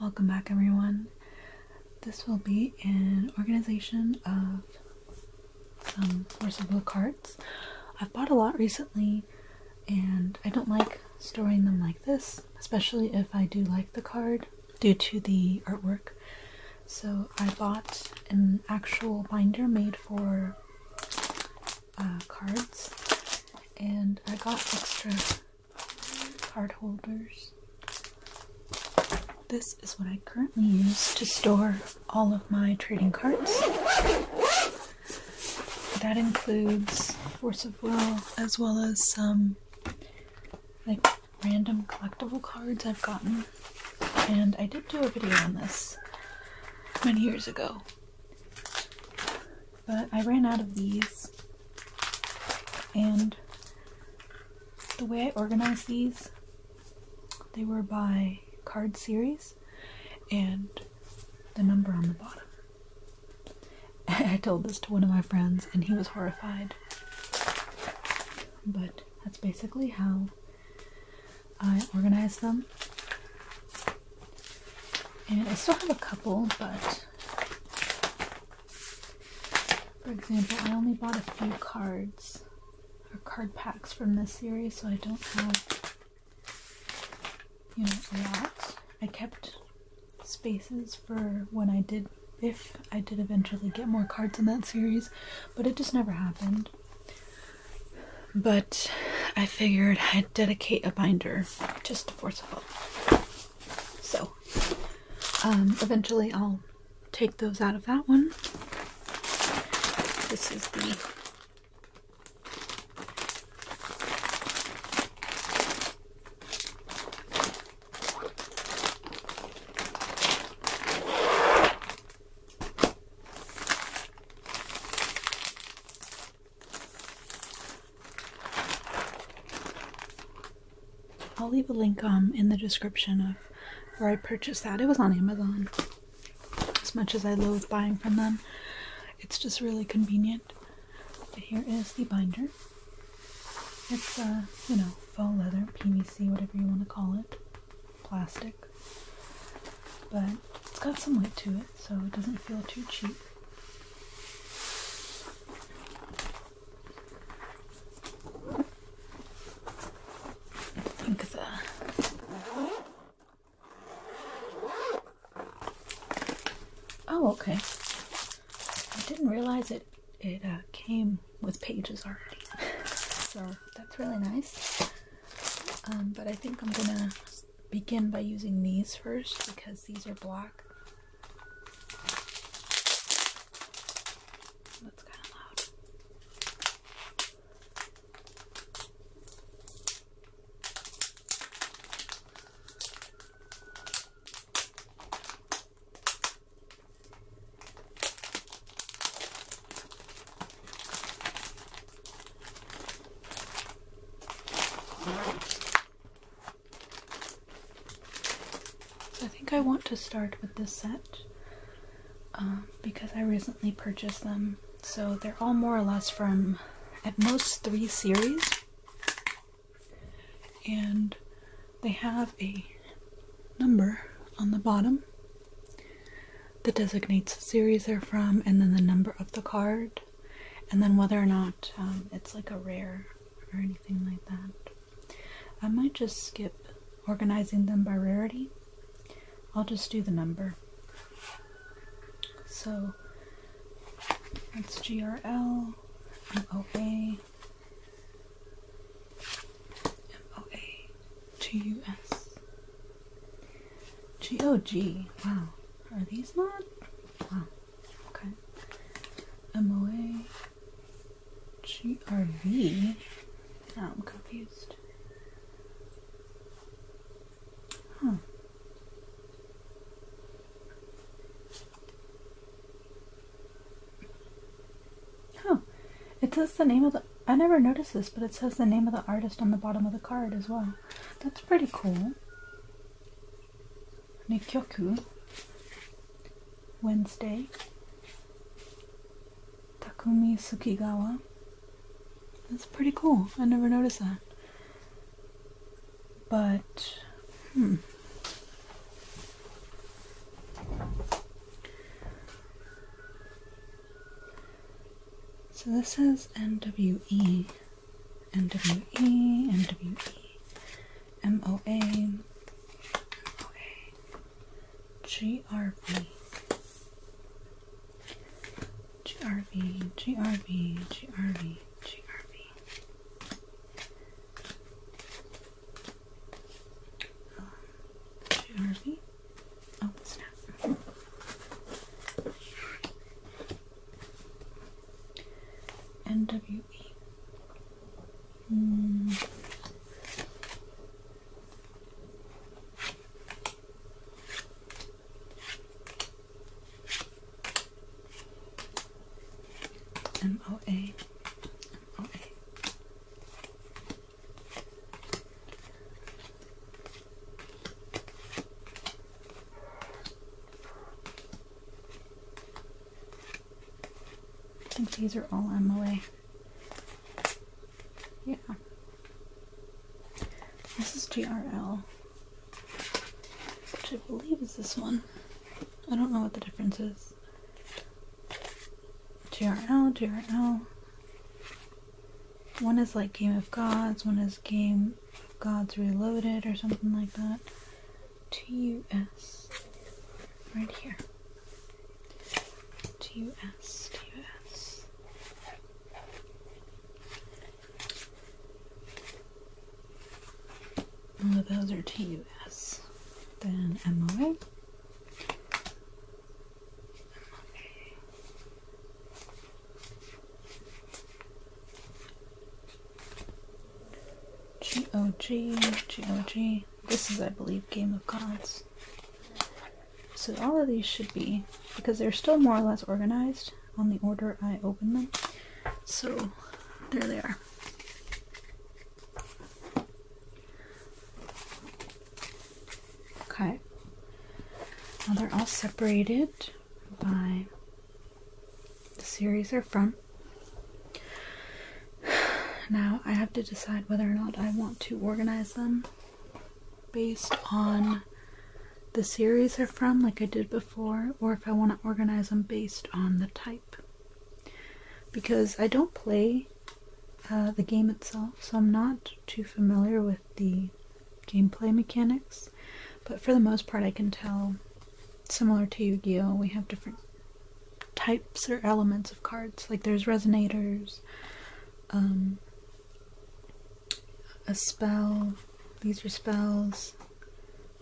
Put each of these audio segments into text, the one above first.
Welcome back, everyone. This will be an organization of some forcible cards. I've bought a lot recently, and I don't like storing them like this, especially if I do like the card due to the artwork. So I bought an actual binder made for uh, cards, and I got extra card holders. This is what I currently use to store all of my trading cards. That includes Force of Will as well as some like random collectible cards I've gotten. And I did do a video on this many years ago, but I ran out of these, and the way I organized these, they were by card series and the number on the bottom. I told this to one of my friends, and he was horrified. But that's basically how I organize them. And I still have a couple, but for example, I only bought a few cards or card packs from this series, so I don't have you know a I kept spaces for when I did if I did eventually get more cards in that series, but it just never happened but I figured I'd dedicate a binder just to force Forceful. So um, eventually I'll take those out of that one. This is the I'll leave a link um, in the description of where I purchased that. It was on Amazon. As much as I loathe buying from them, it's just really convenient. But here is the binder. It's a uh, you know, faux leather, PVC, whatever you want to call it, plastic. But it's got some weight to it so it doesn't feel too cheap. I think the Oh, okay. I didn't realize it it uh, came with pages already. so that's really nice. Um, but I think I'm gonna begin by using these first because these are black. That's kind of loud. I think I want to start with this set um, because I recently purchased them. So they're all more or less from at most three series. And they have a number on the bottom that designates the series they're from and then the number of the card and then whether or not um, it's like a rare or anything like that. I might just skip organizing them by rarity. I'll just do the number. So that's GRL, MOA, MOA, GOG. Oh, wow. Are these not? Wow. Okay. MOA. Now I'm confused. Huh. Huh. It says the name of the. I never noticed this, but it says the name of the artist on the bottom of the card as well that's pretty cool. Nikyoku Wednesday. Takumi Sukigawa. That's pretty cool. I never noticed that. But, hmm. So this says NWE. MWE, MWE, MOA, GRV, GRV, GRV, GRV, Oh, snap. NWE. Hmm. I these are all Emily. Yeah. This is GRL, which I believe is this one. I don't know what the difference is. GRL, GRL. One is like Game of Gods, one is Game of Gods Reloaded or something like that. TUS. Right here. TUS. TUS. Oh, those are TUS. Then MOA. GOG, This is, I believe, Game of Gods. So all of these should be, because they're still more or less organized on the order I open them. So there they are. Okay. Now they're all separated by the series are from. Now I have to decide whether or not I want to organize them based on the series are from, like I did before, or if I want to organize them based on the type. Because I don't play uh, the game itself, so I'm not too familiar with the gameplay mechanics, but for the most part, I can tell, similar to Yu Gi Oh!, we have different types or elements of cards. Like there's resonators, um, a spell, these are spells,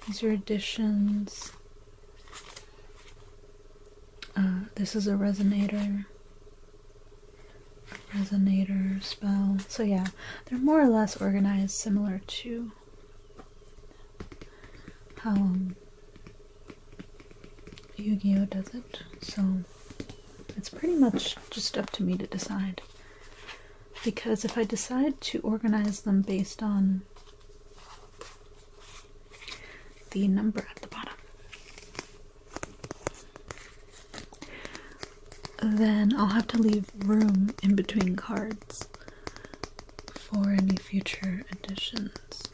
these are additions. Uh, this is a resonator resonator spell. So yeah, they're more or less organized similar to how um, Yu-Gi-Oh does it. So it's pretty much just up to me to decide. Because if I decide to organize them based on the number at the bottom, then I'll have to leave room in between cards for any future additions,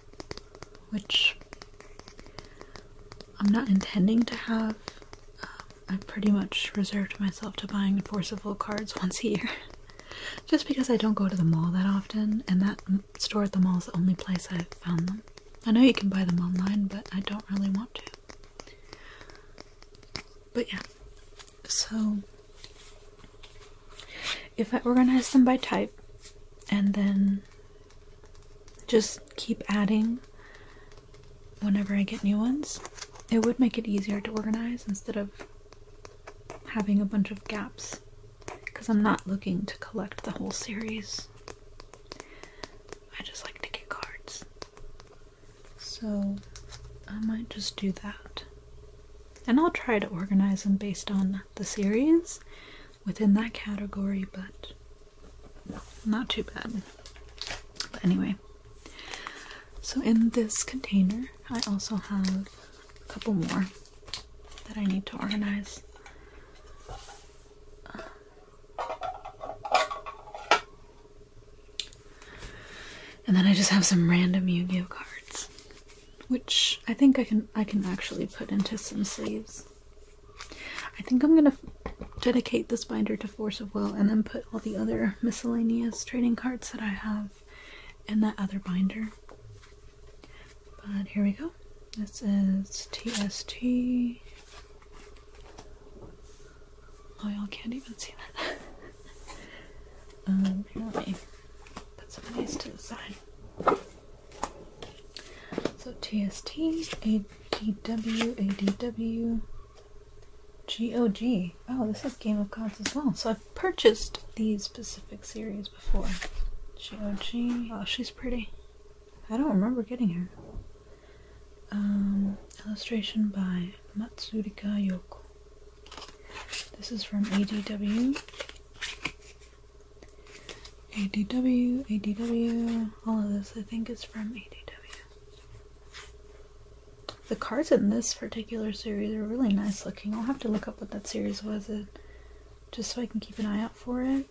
which I'm not intending to have. i um, I pretty much reserved myself to buying forceful cards once a year. Just because I don't go to the mall that often, and that store at the mall is the only place I've found them. I know you can buy them online, but I don't really want to. But yeah, so if I organize them by type and then just keep adding whenever I get new ones, it would make it easier to organize instead of having a bunch of gaps because I'm not looking to collect the whole series. I just like to get cards. So I might just do that. And I'll try to organize them based on the series within that category, but not too bad. But anyway, so in this container, I also have a couple more that I need to organize. And then I just have some random Yu-Gi-Oh cards, which I think I can I can actually put into some sleeves. I think I'm gonna dedicate this binder to Force of Will and then put all the other miscellaneous trading cards that I have in that other binder. But here we go. This is TST Oh, y'all can't even see that. um, here, let me put some of these to the side. So TST, ADW, Oh, this is Game of Cards as well. So I've purchased these specific series before. GOG. Oh, she's pretty. I don't remember getting her. Um, illustration by Matsurika Yoko. This is from ADW. ADW, ADW, all of this I think is from ADW. The cards in this particular series are really nice looking. I'll have to look up what that series was, in, uh, just so I can keep an eye out for it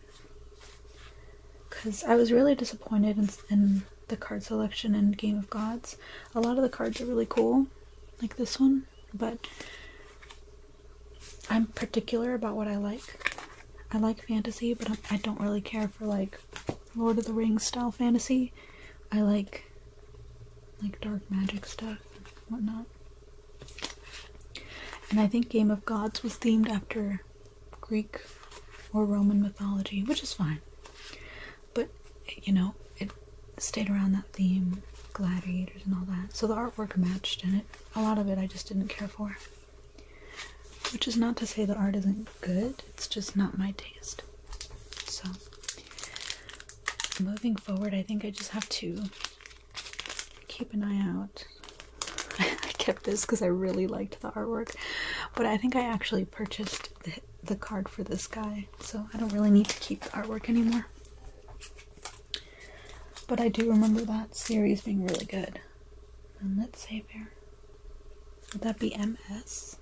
because I was really disappointed in, the card selection in Game of Gods. A lot of the cards are really cool, like this one, but I'm particular about what I like. I like fantasy, but I'm, I do not really care for like Lord of the Rings style fantasy. I like like dark magic stuff and whatnot. And I think Game of Gods was themed after Greek or Roman mythology, which is fine. But, you know, it stayed around that theme, gladiators and all that. So the artwork matched in it. A lot of it I just didn't care for. Which is not to say the art isn't good, it's just not my taste. So, moving forward, I think I just have to keep an eye out. this because I really liked the artwork. But I think I actually purchased the, card for this guy, so I don't really need to keep the artwork anymore. But I do remember that series being really good. And let's save here. Would that be MS?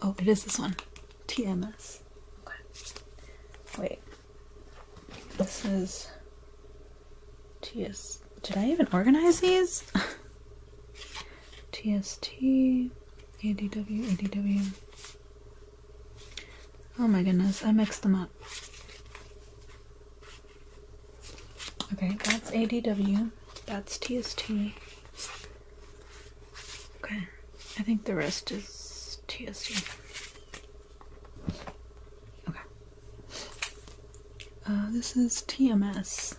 Oh, it is this one. TMS. Okay. Wait. This is TS. Did I even organize these? TST, ADW, ADW. Oh my goodness, I mixed them up. Okay, that's ADW. That's TST. Okay, I think the rest is TST. Okay. Uh, this is TMS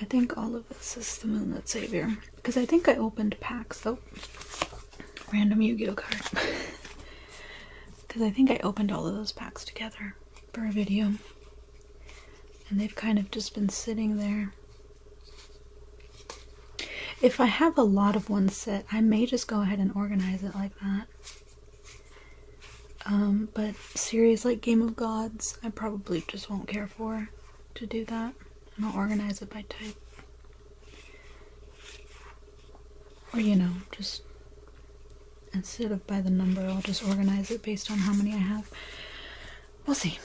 I think all of this is the Moonlit Savior. Because I think I opened packs though. Random Yu-Gi-Oh card. Because I think I opened all of those packs together for a video. And they've kind of just been sitting there. If I have a lot of one set, I may just go ahead and organize it like that. Um, but series like Game of Gods, I probably just won't care for to do that. I'll organize it by type. Or, you know, just instead of by the number, I'll just organize it based on how many I have. We'll see.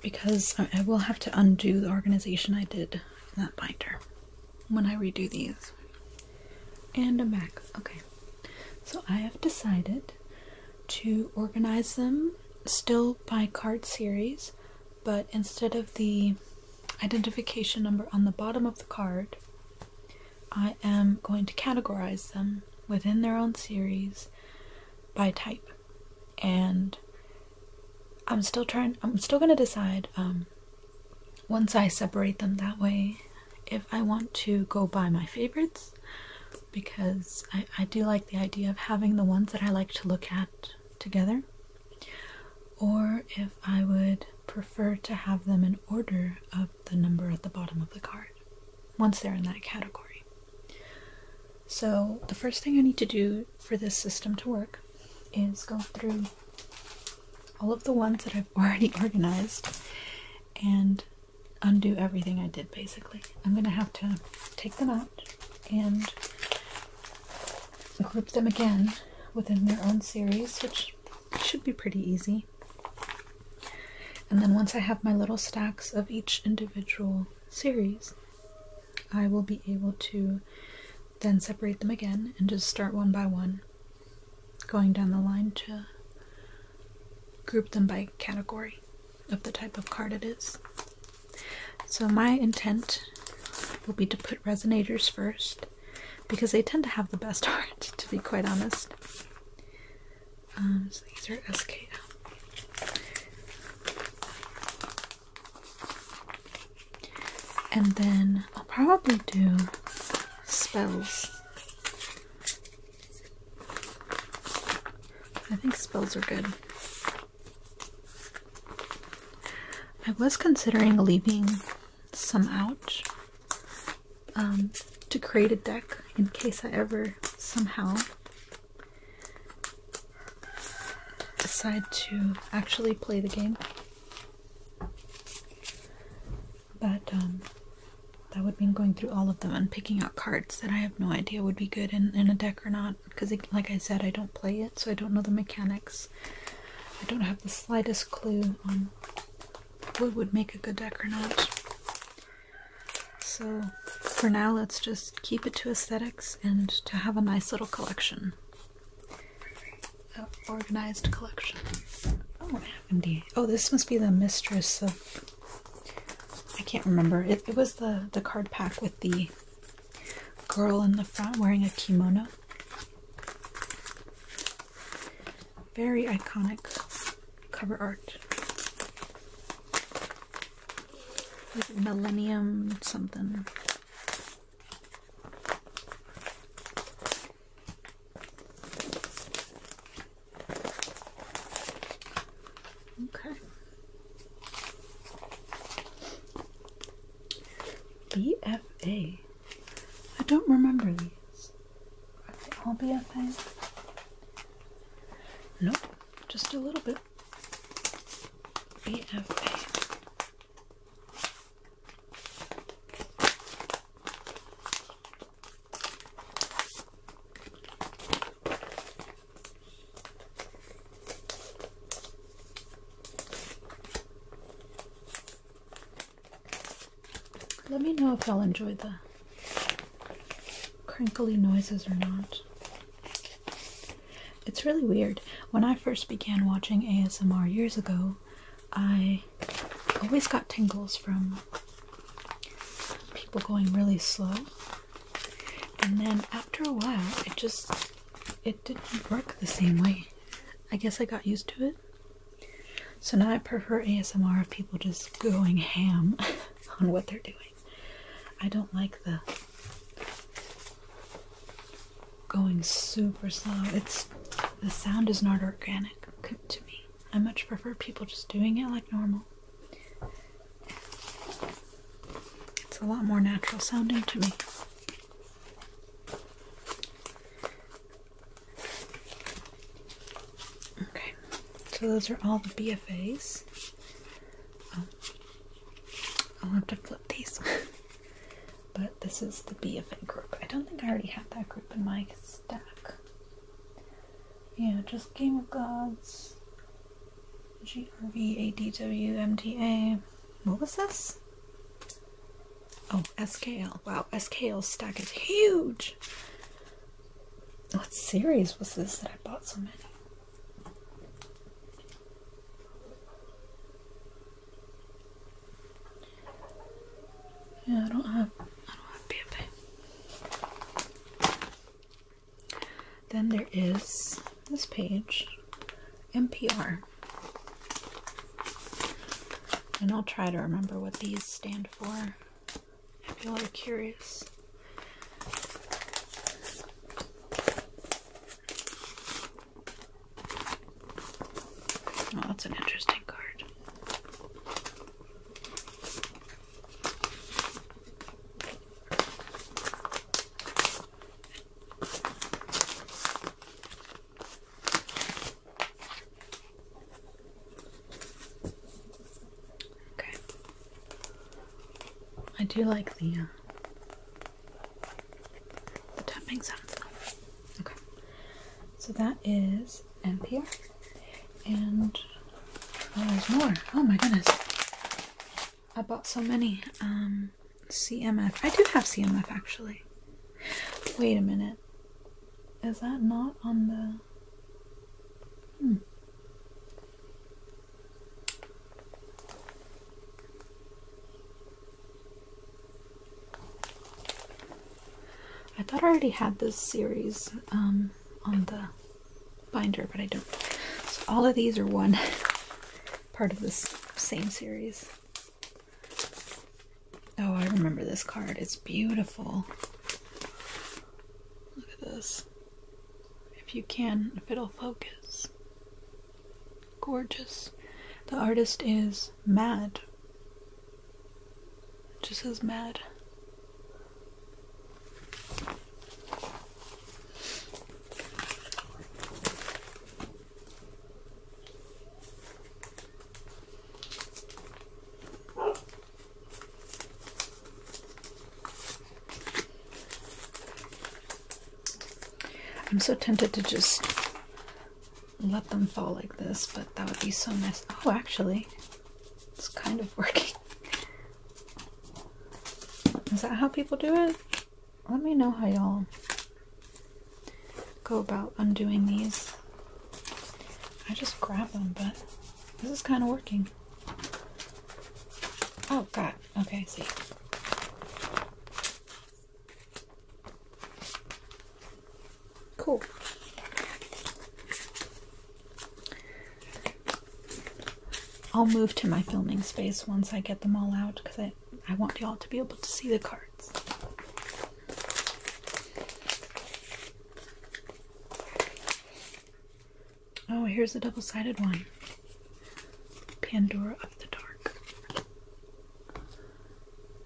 Because I will have to undo the organization I did in that binder when I redo these. And I'm back. Okay. So I have decided to organize them still by card series, but instead of the identification number on the bottom of the card, I am going to categorize them within their own series by type. And I'm still trying, I'm still going to decide um, once I separate them that way if I want to go buy my favorites because I, I do like the idea of having the ones that I like to look at together, or if I would prefer to have them in order of the number at the bottom of the card once they're in that category. So, the first thing I need to do for this system to work is go through all of the ones that I've already organized and undo everything I did basically. I'm going to have to take them out and group them again within their own series, which should be pretty easy. And then once I have my little stacks of each individual series, I will be able to then separate them again and just start one by one going down the line to group them by category of the type of card it is. So my intent will be to put resonators first because they tend to have the best art, to be quite honest. Um, so these are SKF. And then I'll probably do spells I think spells are good. I was considering leaving some out um, to create a deck in case I ever somehow decide to actually play the game. But um, that would mean going through all of them and picking out cards that I have no idea would be good in, a deck or not. Because, like I said, I don't play it, so I don't know the mechanics. I don't have the slightest clue on what would make a good deck or not. So, for now, let's just keep it to aesthetics and to have a nice little collection. organized collection. Oh, Oh, this must be the mistress of. I can't remember. It, was the the card pack with the girl in the front wearing a kimono. Very iconic cover art. Millennium something? Okay. BFA. I don't remember these. Are they all BFA? Nope, just a little bit. BFA. Let me know if y'all enjoy the crinkly noises or not. It's really weird. When I first began watching ASMR years ago, I i always got tingles from people going really slow. And then after a while, it just it didn't work the same way. I guess I got used to it. So now I prefer ASMR of people just going ham on what they're doing. I don't like the going super slow. It's the sound is not organic to me. I much prefer people just doing it like normal. It's a lot more natural sounding to me. Okay, so those are all the BFAs. Oh, I'll have to flip these. but this is the BFA group. I don't think I already have that group in my stack. Yeah, just Game of Gods, GRVADWMTA. What was this? Oh, SKL. Wow, SKL stack is huge! What series was this that I bought so many? Yeah, I don't have I don't have PFA. Then there is this page, NPR. And I'll try to remember what these stand for if y'all are curious. Oh, that's an interesting card. Okay. I do like the uh, the tapping sounds. Okay. So that is ampere and oh there's more oh my goodness i bought so many um cmf i do have cmf actually wait a minute is that not on the hmm. I thought I already had this series um, on the binder, but I don't. So all of these are one part of this same series. Oh, I remember this card. It's beautiful. Look at this. If you can, if it'll focus. Gorgeous. The artist is Mad just as mad. I'm so tempted to just let them fall like this, but that would be so nice. Oh, actually, it's kind of working. Is that how people do it? Let me know how y'all go about undoing these. I just grab them, but this is kind of working. Oh god. Okay, see. Cool. I'll move to my filming space once I get them all out because I, I want y'all to be able to see the cards. Oh, here's a double sided one Pandora of the Dark.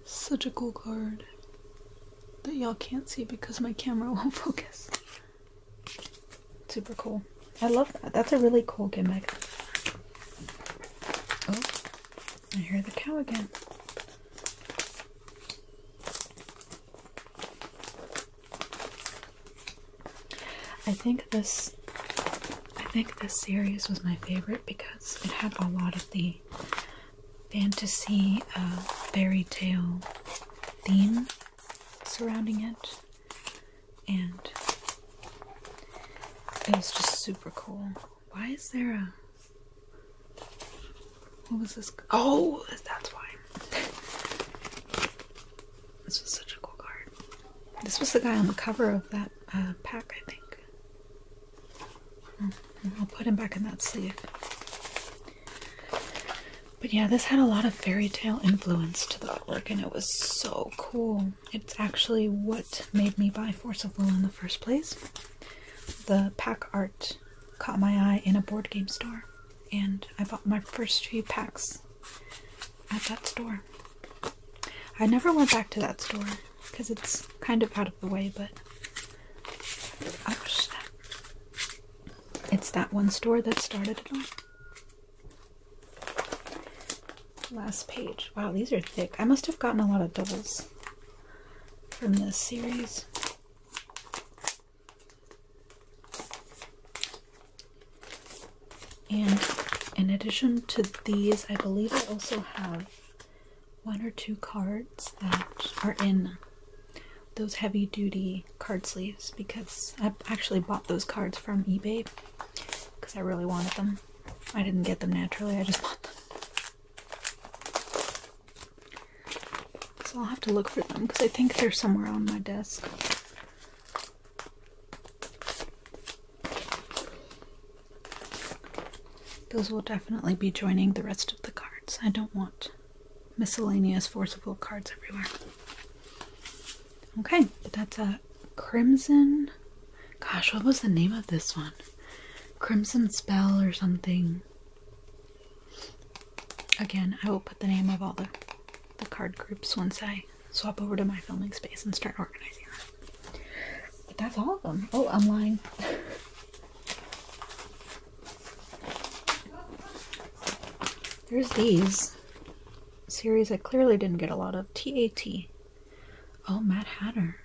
Such a cool card that y'all can't see because my camera won't focus. Super cool. I love that. That's a really cool gimmick. Oh, I hear the cow again. I think this I think this series was my favorite because it had a lot of the fantasy uh, fairy tale theme surrounding it, and it was just super cool. Why is there a what was this? Oh, that's why. this was such a cool card. This was the guy on the cover of that uh, pack, I think. Hmm. I'll put him back in that sleeve. But yeah, this had a lot of fairy tale influence to the artwork, and it was so cool. It's actually what made me buy Force of Will in the first place. The pack art caught my eye in a board game store, and I bought my first few packs at that store. I never went back to that store because it's kind of out of the way, but ouch, that it's that one store that started it all. Last page. Wow, these are thick. I must have gotten a lot of doubles from this series. And in addition to these, I believe I also have one or two cards that are in those heavy duty card sleeves because I actually bought those cards from eBay because I really wanted them. I didn't get them naturally, I just bought them. So I'll have to look for them because I think they're somewhere on my desk. Those will definitely be joining the rest of the cards. I don't want miscellaneous forceful cards everywhere. Okay, but that's a uh, crimson. Gosh, what was the name of this one? Crimson Spell or something. Again, I will put the name of all the, the card groups once I swap over to my filming space and start organizing them. But that's all of them. Oh, I'm lying. There's these series I clearly didn't get a lot of. TAT. Oh, Mad Hatter.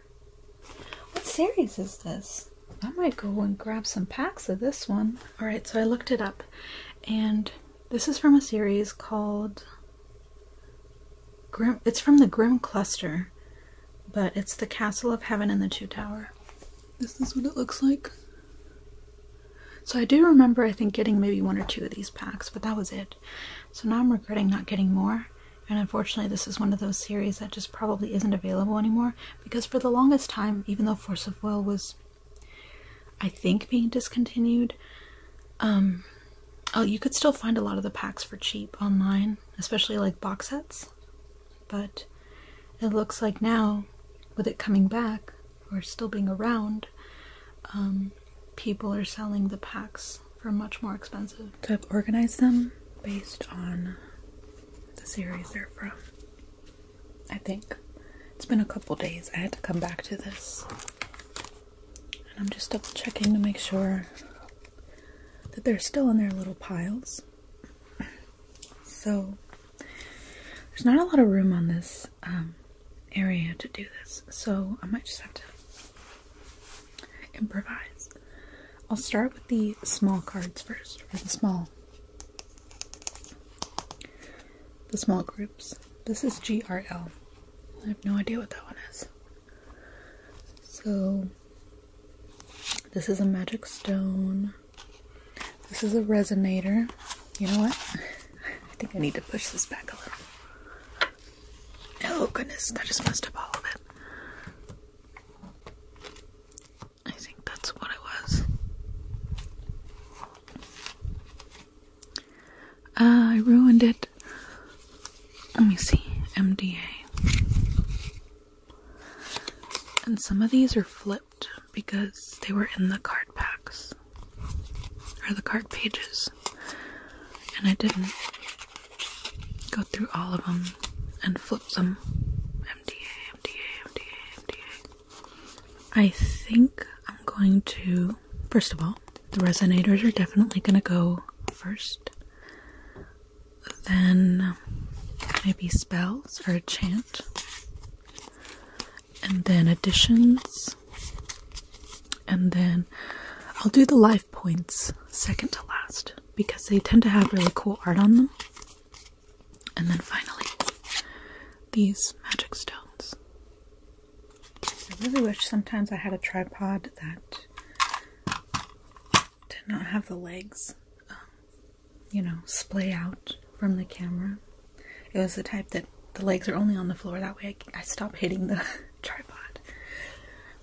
What series is this? I might go and grab some packs of this one. Alright, so I looked it up and this is from a series called Grim. It's from the Grim Cluster but it's the Castle of Heaven and the Two Tower. This is what it looks like. So I do remember, I think, getting maybe one or two of these packs, but that was it. So now I'm regretting not getting more. And unfortunately, this is one of those series that just probably isn't available anymore. Because for the longest time, even though Force of Will was, I think, being discontinued, um, oh, you could still find a lot of the packs for cheap online, especially like box sets. But it looks like now, with it coming back or still being around, um, people are selling the packs for much more expensive. To organize them based on the series they're from. I think. It's been a couple days. I had to come back to this. And I'm just double checking to make sure that they're still in their little piles. So there's not a lot of room on this um, area to do this, so I might just have to improvise. I'll start with the small cards first, or the small, the small groups. This is GRL. I have no idea what that one is. So this is a magic stone. This is a resonator. You know what? I think I need to push this back a little. Oh goodness, I just messed up all of it. I think that's what it was. Uh, I ruined it. Let me see. MDA. And some of these are flipped because they were in the card packs or the card pages. And I didn't go through all of them and flip them. MDA, MDA, MDA, MDA. I think I'm going to, first of all, the resonators are definitely going to go first then maybe spells or a chant, and then additions, and then I'll do the life points second to last because they tend to have really cool art on them. And then finally, these magic stones. I really wish sometimes I had a tripod that to not have the legs, um, you know, splay out from the camera. It was the type that the legs are only on the floor. That way, I, I stop hitting the tripod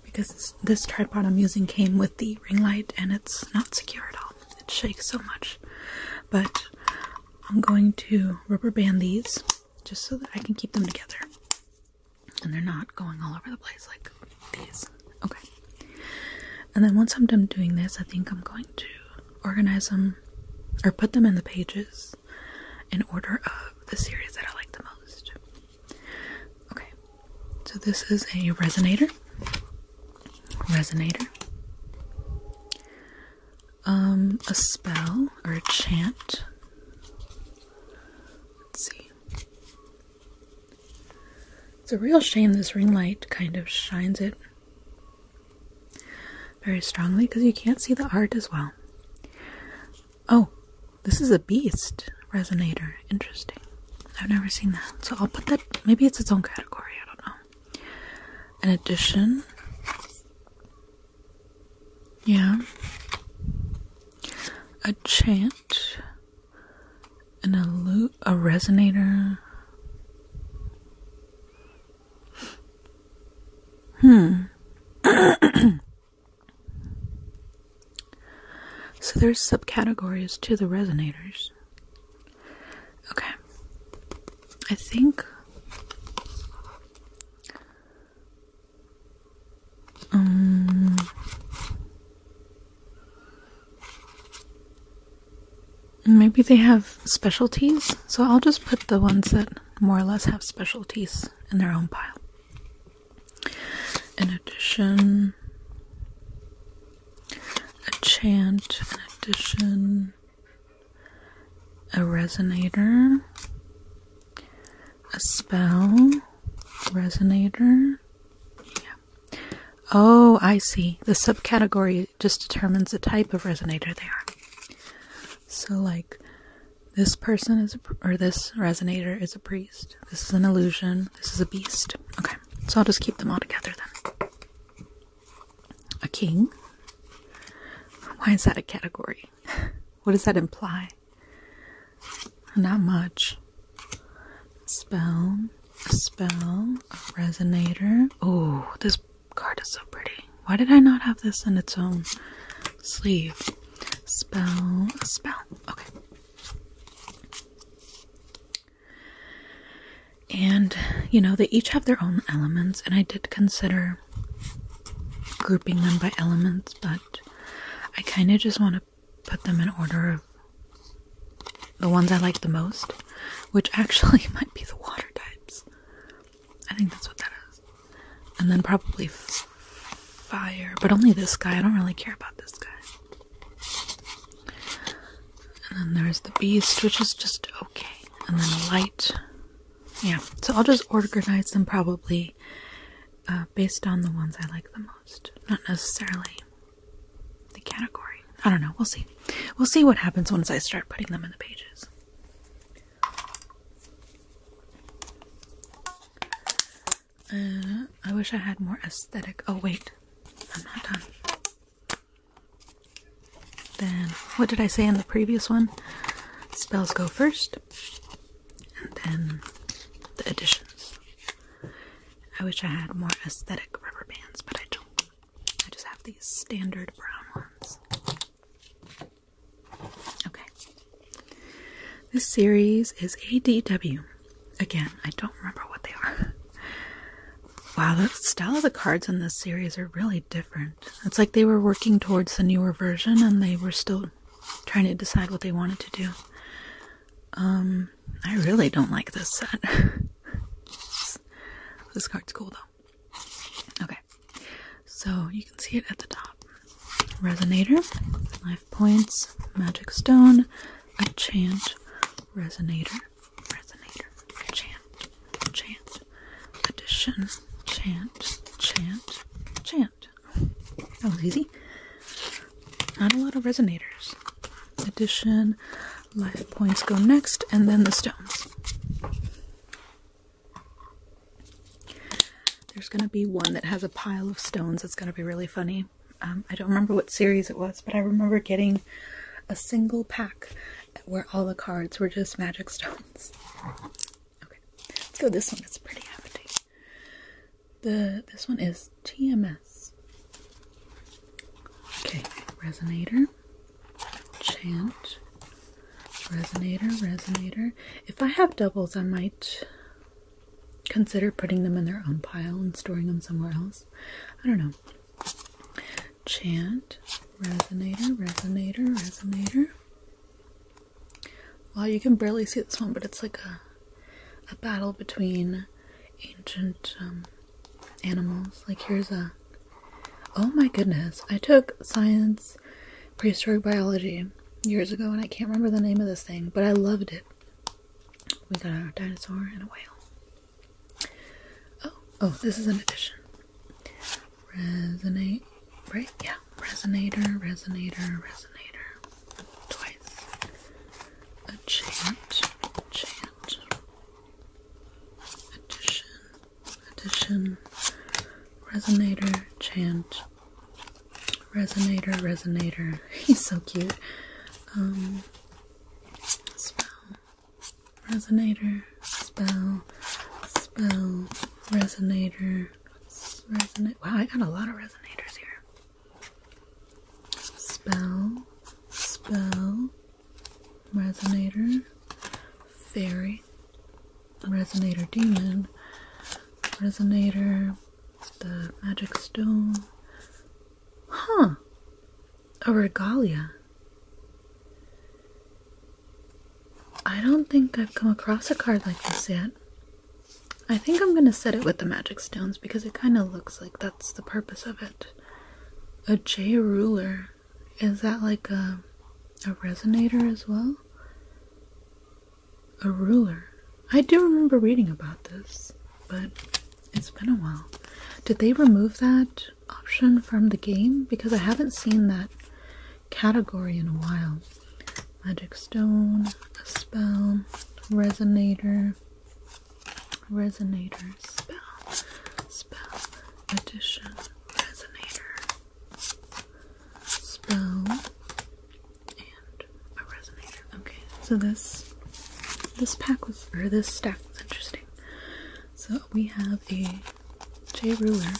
because this tripod I'm using came with the ring light, and it's not secure at all. It shakes so much. But I'm going to rubber band these just so that I can keep them together, and they're not going all over the place like these. Okay. And then once I'm done doing this, I think I'm going to organize them or put them in the pages in order of the series that I like the most. Okay. So this is a resonator. Resonator. Um, a spell or a chant. Let's see. It's a real shame this ring light kind of shines it very strongly because you can't see the art as well. Oh, this is a beast resonator. Interesting. I've never seen that. So I'll put that maybe it's its own category, I don't know. An addition. Yeah. A chant and a loop, a resonator. Hmm. so there's subcategories to the resonators. Okay. I think um Maybe they have specialties, so I'll just put the ones that more or less have specialties in their own pile. In addition, a chant, an addition, a resonator, a spell, resonator, yeah. Oh, I see. The subcategory just determines the type of resonator they are. So, like, this person is, or this resonator is a priest. This is an illusion. This is a beast. Okay, so I'll just keep them all together then. A king? Why is that a category? what does that imply? Not much. Spell, spell, resonator. Oh, this card is so pretty. Why did I not have this in its own sleeve? Spell, spell. Okay. And, you know, they each have their own elements, and I did consider grouping them by elements, but I kind of just want to put them in order of the ones I like the most, which actually might be the water types. I think that's what that is. And then probably fire, but only this guy. I don't really care about this guy. And then there's the beast, which is just okay. And then light. Yeah, so I'll just organize them probably uh, based on the ones I like the most. Not necessarily the category. I don't know. We'll see. We'll see what happens once I start putting them in the pages. Uh, I wish I had more aesthetic. Oh, wait. I'm not done. Then, what did I say in the previous one? Spells go first, and then the additions. I wish I had more aesthetic rubber bands, but I don't. I just have these standard brown ones. Okay. This series is ADW. Again, I don't remember what they are. Wow, the style of the cards in this series are really different. It's like they were working towards the newer version and they were still trying to decide what they wanted to do. Um I really don't like this set. this card's cool though. Okay, so you can see it at the top. Resonator, life points, magic stone, a chant, resonator, resonator, chant, chant, addition, chant, chant, chant. That oh, was easy. Not a lot of resonators. Addition, life points go next, and then the stones. There's gonna be one that has a pile of stones that's gonna be really funny. Um, I don't remember what series it was, but I remember getting a single pack where all the cards were just magic stones. Okay, let's go this one. is pretty hefty. The this one is TMS Okay, resonator, chant, resonator, resonator. If I have doubles, I might consider putting them in their own pile and storing them somewhere else. I don't know. Chant, resonator, resonator, resonator. Wow, you can barely see this one, but it's like a a battle between ancient um, animals. Like here's a oh my goodness, I took science prehistoric biology years ago and I can't remember the name of this thing, but I loved it. We got a dinosaur and a whale. Oh, oh, this is an addition. Resonate, right? Yeah, resonator, resonator, resonator. Toy guys a chant, chant, addition, addition, resonator, chant, resonator, resonator. He's so cute. Um, spell, resonator, spell, spell, resonator, resonate. Wow, I got a lot of resonators here. Spell, spell, resonator, fairy, resonator demon, resonator, the magic stone. Huh. A regalia. I don't think I've come across a card like this yet. I think I'm going to set it with the magic stones because it kind of looks like that's the purpose of it a J ruler is that like a a resonator as well? A ruler. I do remember reading about this, but it's been a while. Did they remove that option from the game? Because I haven't seen that category in a while. Magic stone, a spell, resonator. Resonator spell spell edition resonator spell and a resonator. Okay, so this this pack was or this stack was interesting. So we have a J ruler.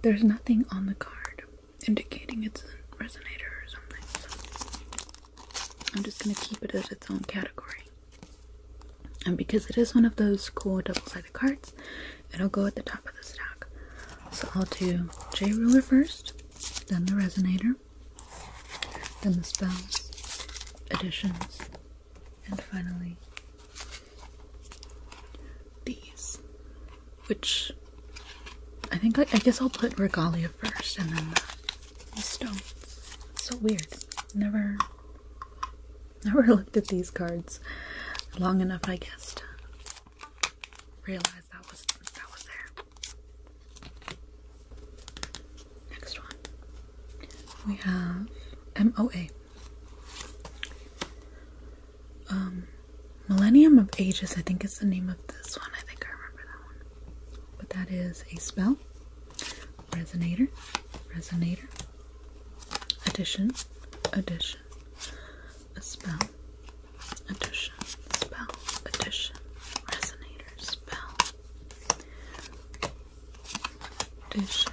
There's nothing on the card, indicating it's a resonator or something. I'm just gonna keep it as its own category. And because it is one of those cool double-sided cards, it'll go at the top of the stack. So I'll do J ruler first, then the resonator, then the spells, additions, and finally these. Which I think I, guess I'll put regalia first and then the, stone. stones. So weird. Never never looked at these cards long enough I guess to realize that was that was there. Next one. We have MOA. Um Millennium of Ages, I think it's the name of this one. I think I remember that one. But that is a spell, resonator, resonator, addition, addition, a spell, addition, spell, addition, resonator, spell, addition.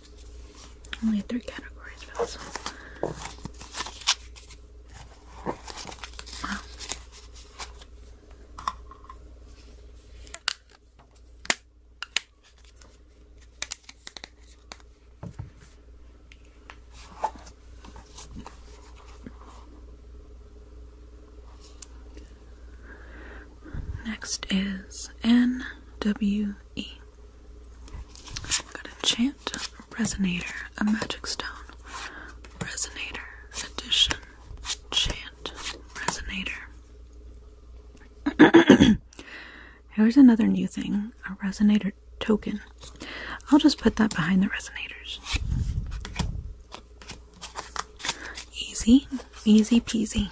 Only three categories for this one. Wow. Next is N W E. We've got Enchant, Resonator, a Magic Stone, Resonator, Edition, chant, Resonator. Here's another new thing, a Resonator token. I'll just put that behind the resonators. Easy, easy peasy.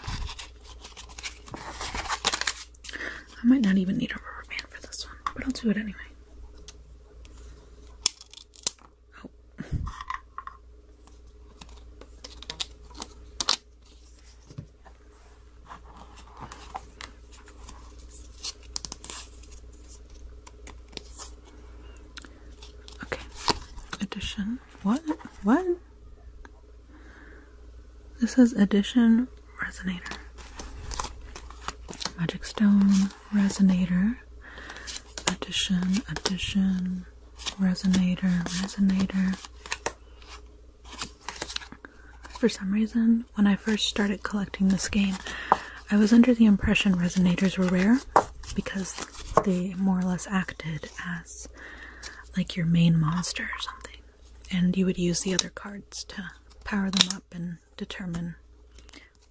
I might not even need a rubber band for this one, but I'll do it anyway. Oh. Okay. Edition. What? What? This is Edition Resonator. Magic Stone Resonator. Edition, Edition, Resonator, Resonator. For some reason, when I first started collecting this game, I was under the impression resonators were rare because they more or less acted as like your main monster or something. And you would use the other cards to power them up and determine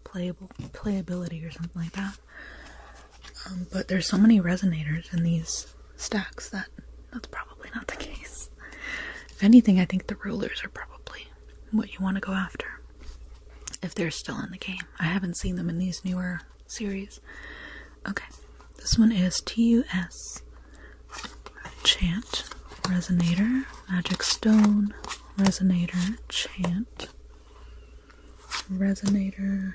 playable playability or something like that. Um, but there's so many resonators in these stacks that that's probably not the case. If anything, I think the rulers are probably what you want to go after. If they're still in the game. I haven't seen them in these newer series. Okay, this one is TUS Chant Resonator, Magic Stone Resonator, Chant Resonator,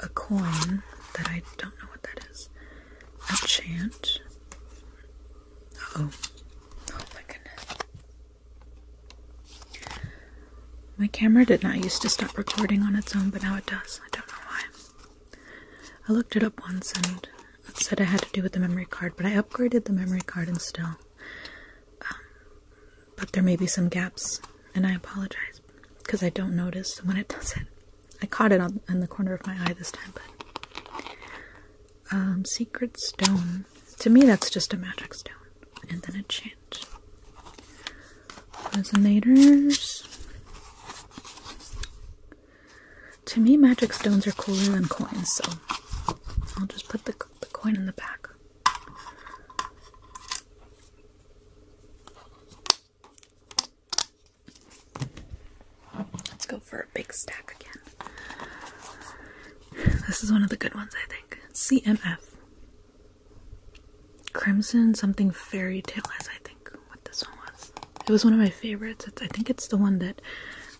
a coin that I don't know what that is, a chant. oh, oh my goodness. My camera did not used to stop recording on its own, but now it does. I don't know why. I looked it up once and said I had to do with the memory card, but I upgraded the memory card and still. Um, but there may be some gaps, and I apologize because I don't notice when it does it. I caught it on, the corner of my eye this time, but. Um, secret Stone. To me, that's just a magic stone. And then a chant. Resonators. To me, magic stones are cooler than coins, so I'll just put the, coin in the back. Let's go for a big stack again. This is one of the good ones, I think. CMF. Crimson something fairy tale as I think what this one was. It was one of my favorites. I think it's the one that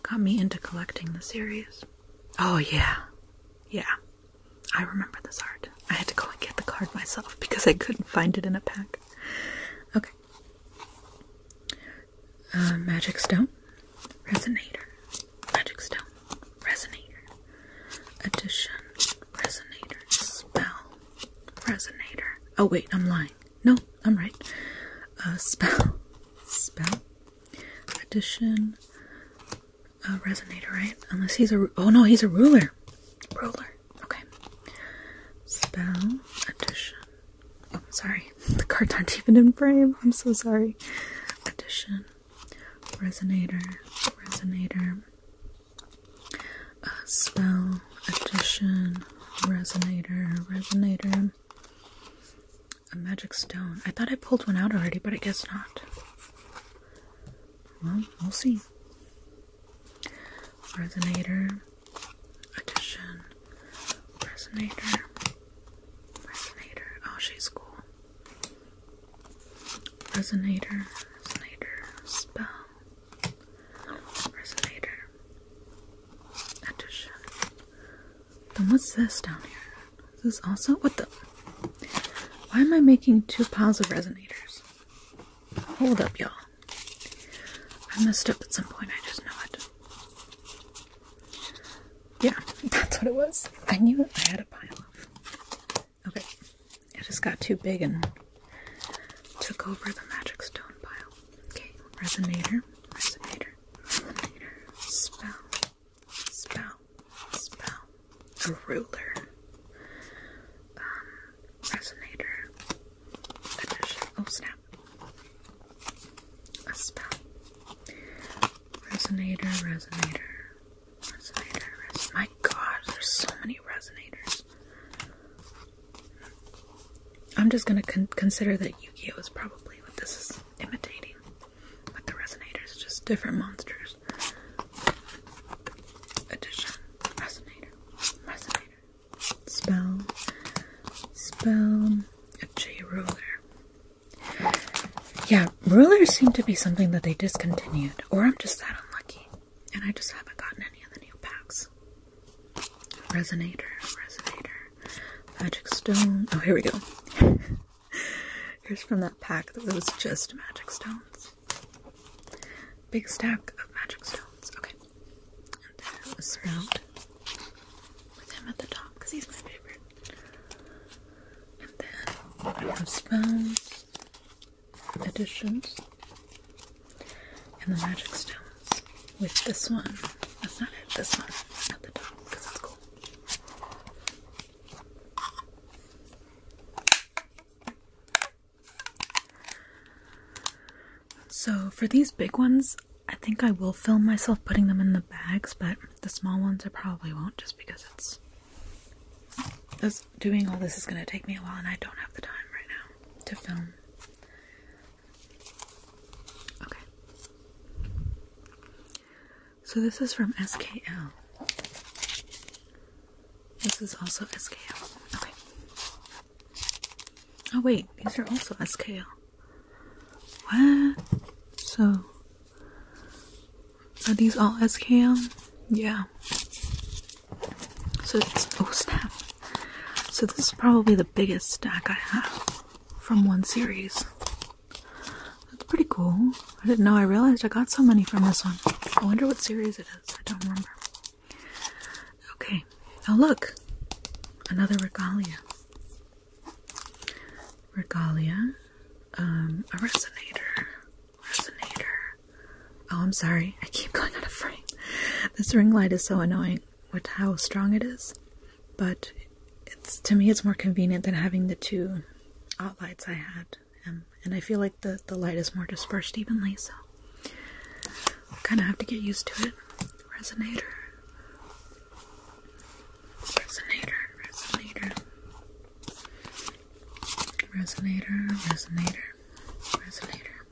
got me into collecting the series. Oh yeah. Yeah. I remember this card. I had to go and get the card myself because I couldn't find it in a pack. Okay. Uh, magic stone, resonator, magic stone, resonator, addition, resonator, spell, Resonator. Oh wait, I'm lying. No, I'm right. Uh, spell, spell, addition, uh, resonator, right? Unless he's a oh no, he's a ruler. Ruler. Okay. Spell, addition. Oh, sorry. The cards aren't even in frame. I'm so sorry. Addition, resonator, resonator, a spell, addition, resonator, resonator, a magic stone. I thought I pulled one out already, but I guess not. Well, we'll see. Resonator, addition, resonator, resonator. Oh, she's cool. Resonator, resonator, spell. Resonator. Addition. Then what's this down here? this is also? What the? Why am I making two piles of resonators? Hold up, y'all. I messed up at some point, I just know it. Yeah, that's what it was. I knew I had a pile of Okay, it just got too big and took over the magic stone pile. Okay, resonator, resonator, resonator, spell, spell, spell, a ruler, um, resonator, oh snap, a spell, resonator, resonator, resonator, resonator. My god, there's so many resonators. I'm just going to consider that Yukio is probably what this is imitating. But the resonators just different monsters. Addition. Resonator. Resonator. Spell. Spell. A J ruler. Yeah, rulers seem to be something that they discontinued. Or I'm just that unlucky and I just haven't gotten any of the new packs. Resonator, Resonator, Magic Stone. Oh, here we go. Here's from that pack that was just Magic Stones. Big stack of Magic Stones. Okay. And then a Sprout with him at the top because he's my favorite. And then some Spells editions and the magic stones with this one. That's not it, this one at the top because it's cool. So, for these big ones, I think I will film myself putting them in the bags, but the small ones I probably won't just because it's doing all this is going to take me a while, and I don't have the time right now to film. Okay. So this is from SKL. This is also SKL. Okay. Oh wait, these are also SKL. What? So are these all SKL? Yeah. So it's oh snap. So this is probably the biggest stack I have from one series. That's pretty cool. I didn't know I realized I got so many from this one. I wonder what series it is. I don't remember. Okay. Oh look. Another regalia. Regalia. Um, a resonator resonator. Oh, I'm sorry. I keep going out of frame. This ring light is so annoying with how strong it is, but it's to me it's more convenient than having the two outlights I had. Um, and I feel like the, the light is more dispersed evenly, so kind of have to get used to it. Resonator. Resonator, resonator. Resonator, resonator resonator,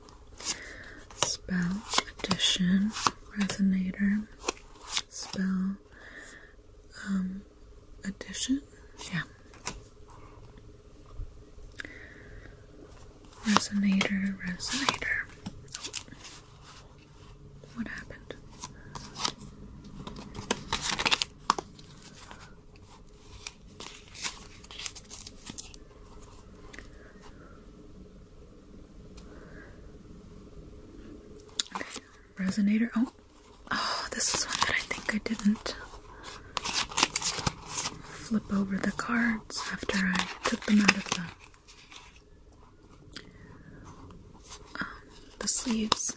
spell addition, resonator, spell um, addition, yeah, resonator, resonator. What happened? resonator. Oh, oh, this is one that I think I didn't flip over the cards after I took them out of the um, the sleeves.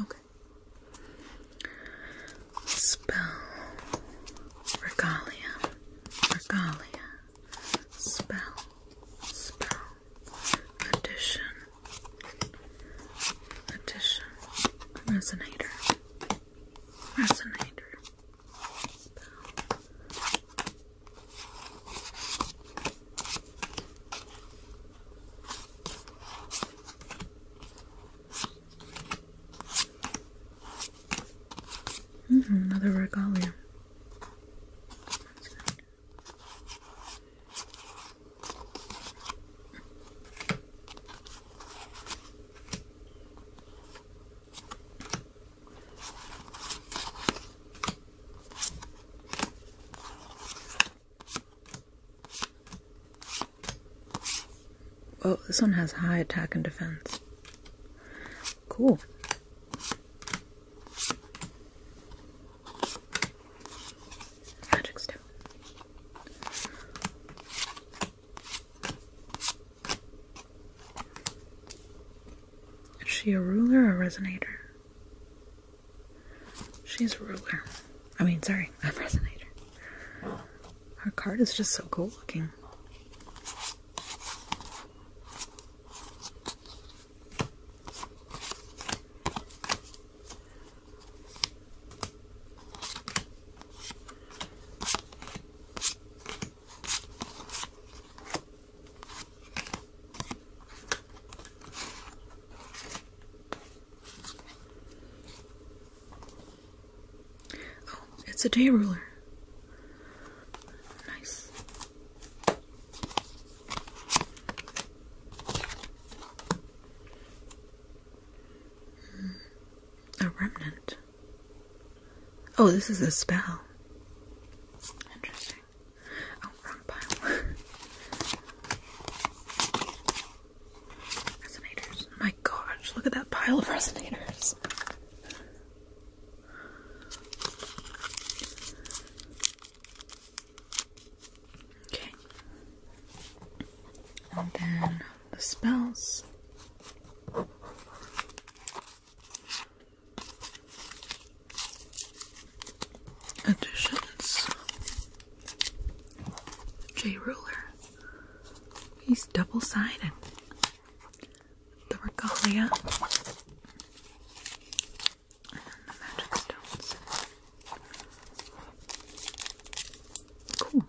Okay. Spell regalia, regalia. Spell, spell. Addition, addition. Resonator, resonator. Spell. Mm-hmm, another regalia. That's good. Oh, this one has high attack and defense. Cool. Magic step. Is she a ruler or a resonator? She's ruler. I mean, sorry, a resonator. Her card is just so cool looking. Oh, it's a day ruler. Nice. Hmm, a remnant. Oh, this is a spell. Interesting. Oh, wrong pile. Resonators. my gosh, look at that pile of resonators. Okay. And then the spells. Additions. J ruler. He's double sided. The regalia and the magic stones. Cool.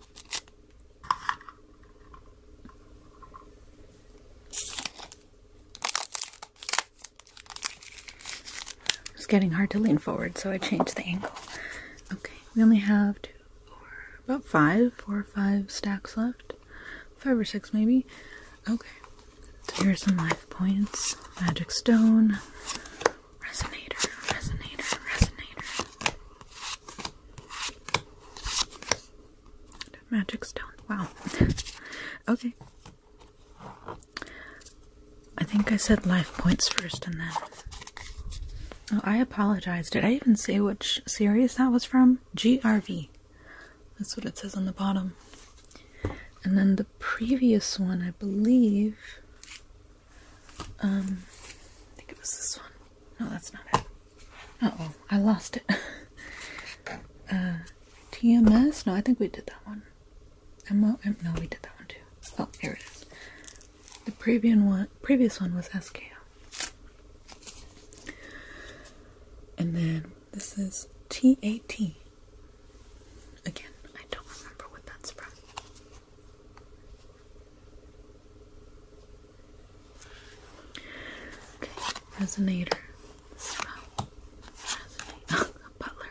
It's getting hard to lean forward, so I changed the angle. Okay, we only have two, four, about five, four or five stacks left. Five or six, maybe. Okay, so are some life points. Magic stone. Resonator, resonator, resonator. Magic stone. Wow. okay. I think I said life points first and then. Oh, I apologize. Did I even say which series that was from? GRV. That's what it says on the bottom. And then the previous one, I believe. Um, I think it was this one. No, that's not it. oh, I lost it. uh, TMS? No, I think we did that one. MO? No, we did that one too. Oh, here it is. The previous one, previous one was SKO. And then this is TAT. Again, I don't remember what that's from. Okay, Resonator. Butler.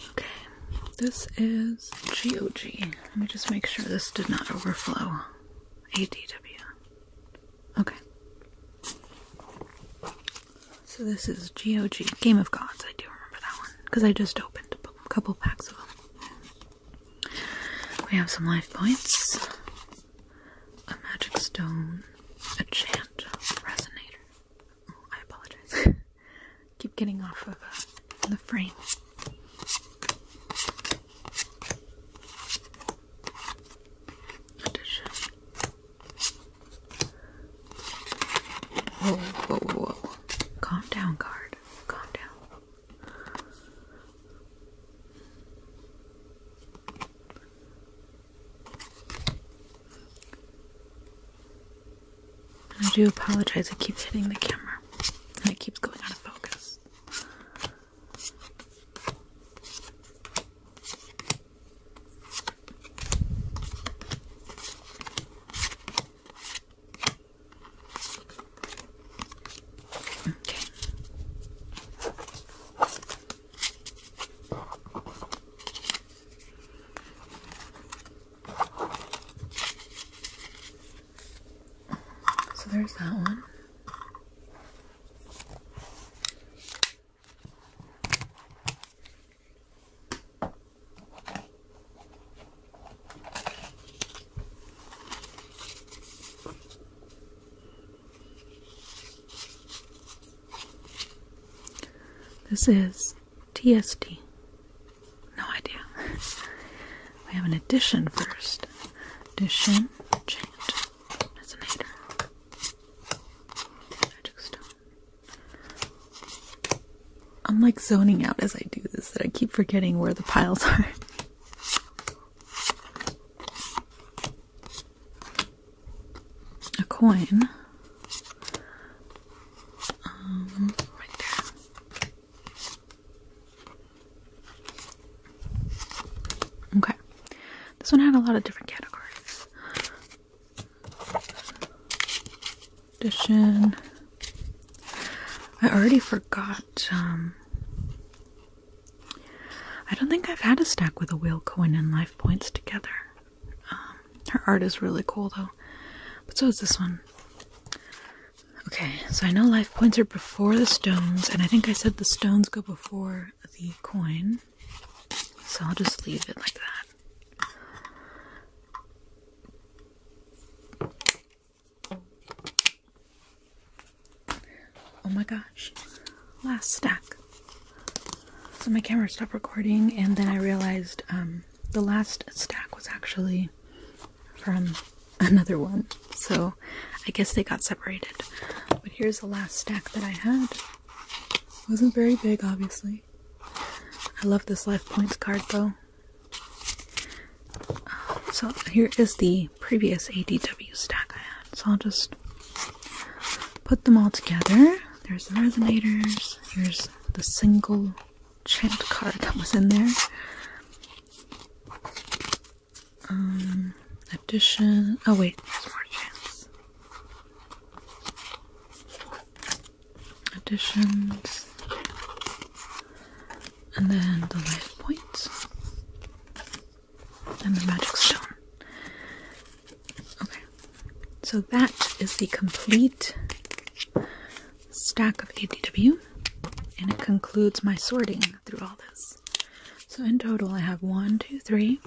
Okay, this is GOG. Let me just make sure this did not overflow. ADW. Okay. So this is GOG. Game of Gods. I do remember that one. Because I just opened a couple packs of them. We have some life points. A magic stone. A chant. Resonator. I apologize. Keep getting off of uh, the frame. Whoa, whoa, whoa, Calm down, card. Calm down. I do apologize, it keeps hitting the camera and it keeps going out of focus. Okay. So there's that one. This is TST. No idea. we have an addition first. Addition, chant, resonator, magic stone. I'm like zoning out as I do this that I keep forgetting where the piles are a coin um, Okay, this one had a lot of different categories. Edition. I already forgot. Um, I don't think I've had a stack with a wheel coin and life points together. Um, her art is really cool though. But so is this one. Okay, so I know life points are before the stones, and I think I said the stones go before the coin. So I'll just leave it like that. Oh my gosh. Last stack. So my camera stopped recording, and then I realized um, the last stack was actually from another one. So I guess they got separated. But here's the last stack that I had. wasn't very big, obviously. I love this life points card though. so here is the previous ADW stack I had. So I'll just put them all together. There's the resonators. Here's the single chant card that was in there. Um, addition. Oh wait, there's Additions. And then the life points. And the magic stone. Okay, so that is the complete stack of ADW, and it concludes my sorting through all this. So in total, I have one, two, three,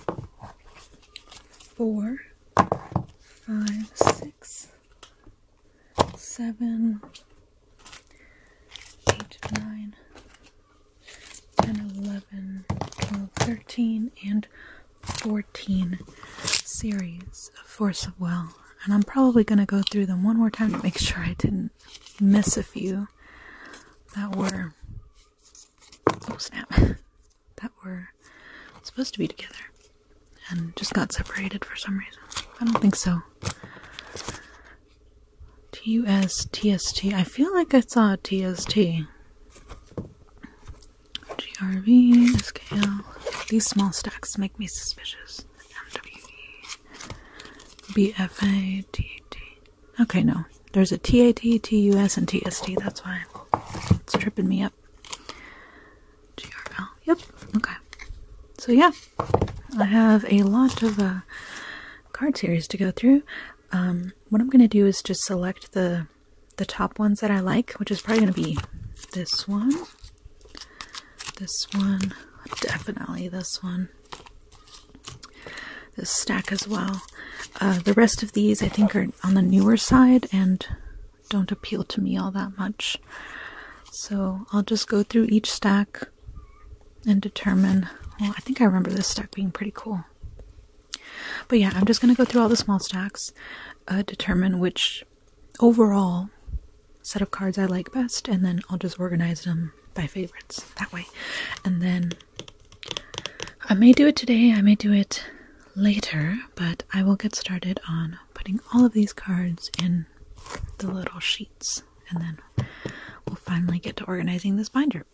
four, five, six, seven, eight, nine, ten, eleven, twelve, thirteen, and 14 series of Force of Will, and I'm probably going to go through them one more time to make sure I didn't miss a few that were. Oh snap! That were supposed to be together and just got separated for some reason. I don't think so. TUS, feel like I saw TST. GRV, SKL. These small stacks make me suspicious. MWV, BFA, TAT. Okay, no. There's a and TST. That's why it's tripping me up. GRL. Yep. Okay. So, yeah. I have a lot of uh, card series to go through. Um, what I'm going to do is just select the the top ones that I like, which is probably going to be this one, this one, definitely this one, this stack as well. Uh, the rest of these I think are on the newer side and don't appeal to me all that much. So I'll just go through each stack and determine. Well, I think I remember this stack being pretty cool. But yeah, I'm just gonna go through all the small stacks, uh, determine which overall set of cards I like best, and then I'll just organize them by favorites that way. And then I may do it today, I may do it later, but I will get started on putting all of these cards in the little sheets, and then we'll finally get to organizing this binder.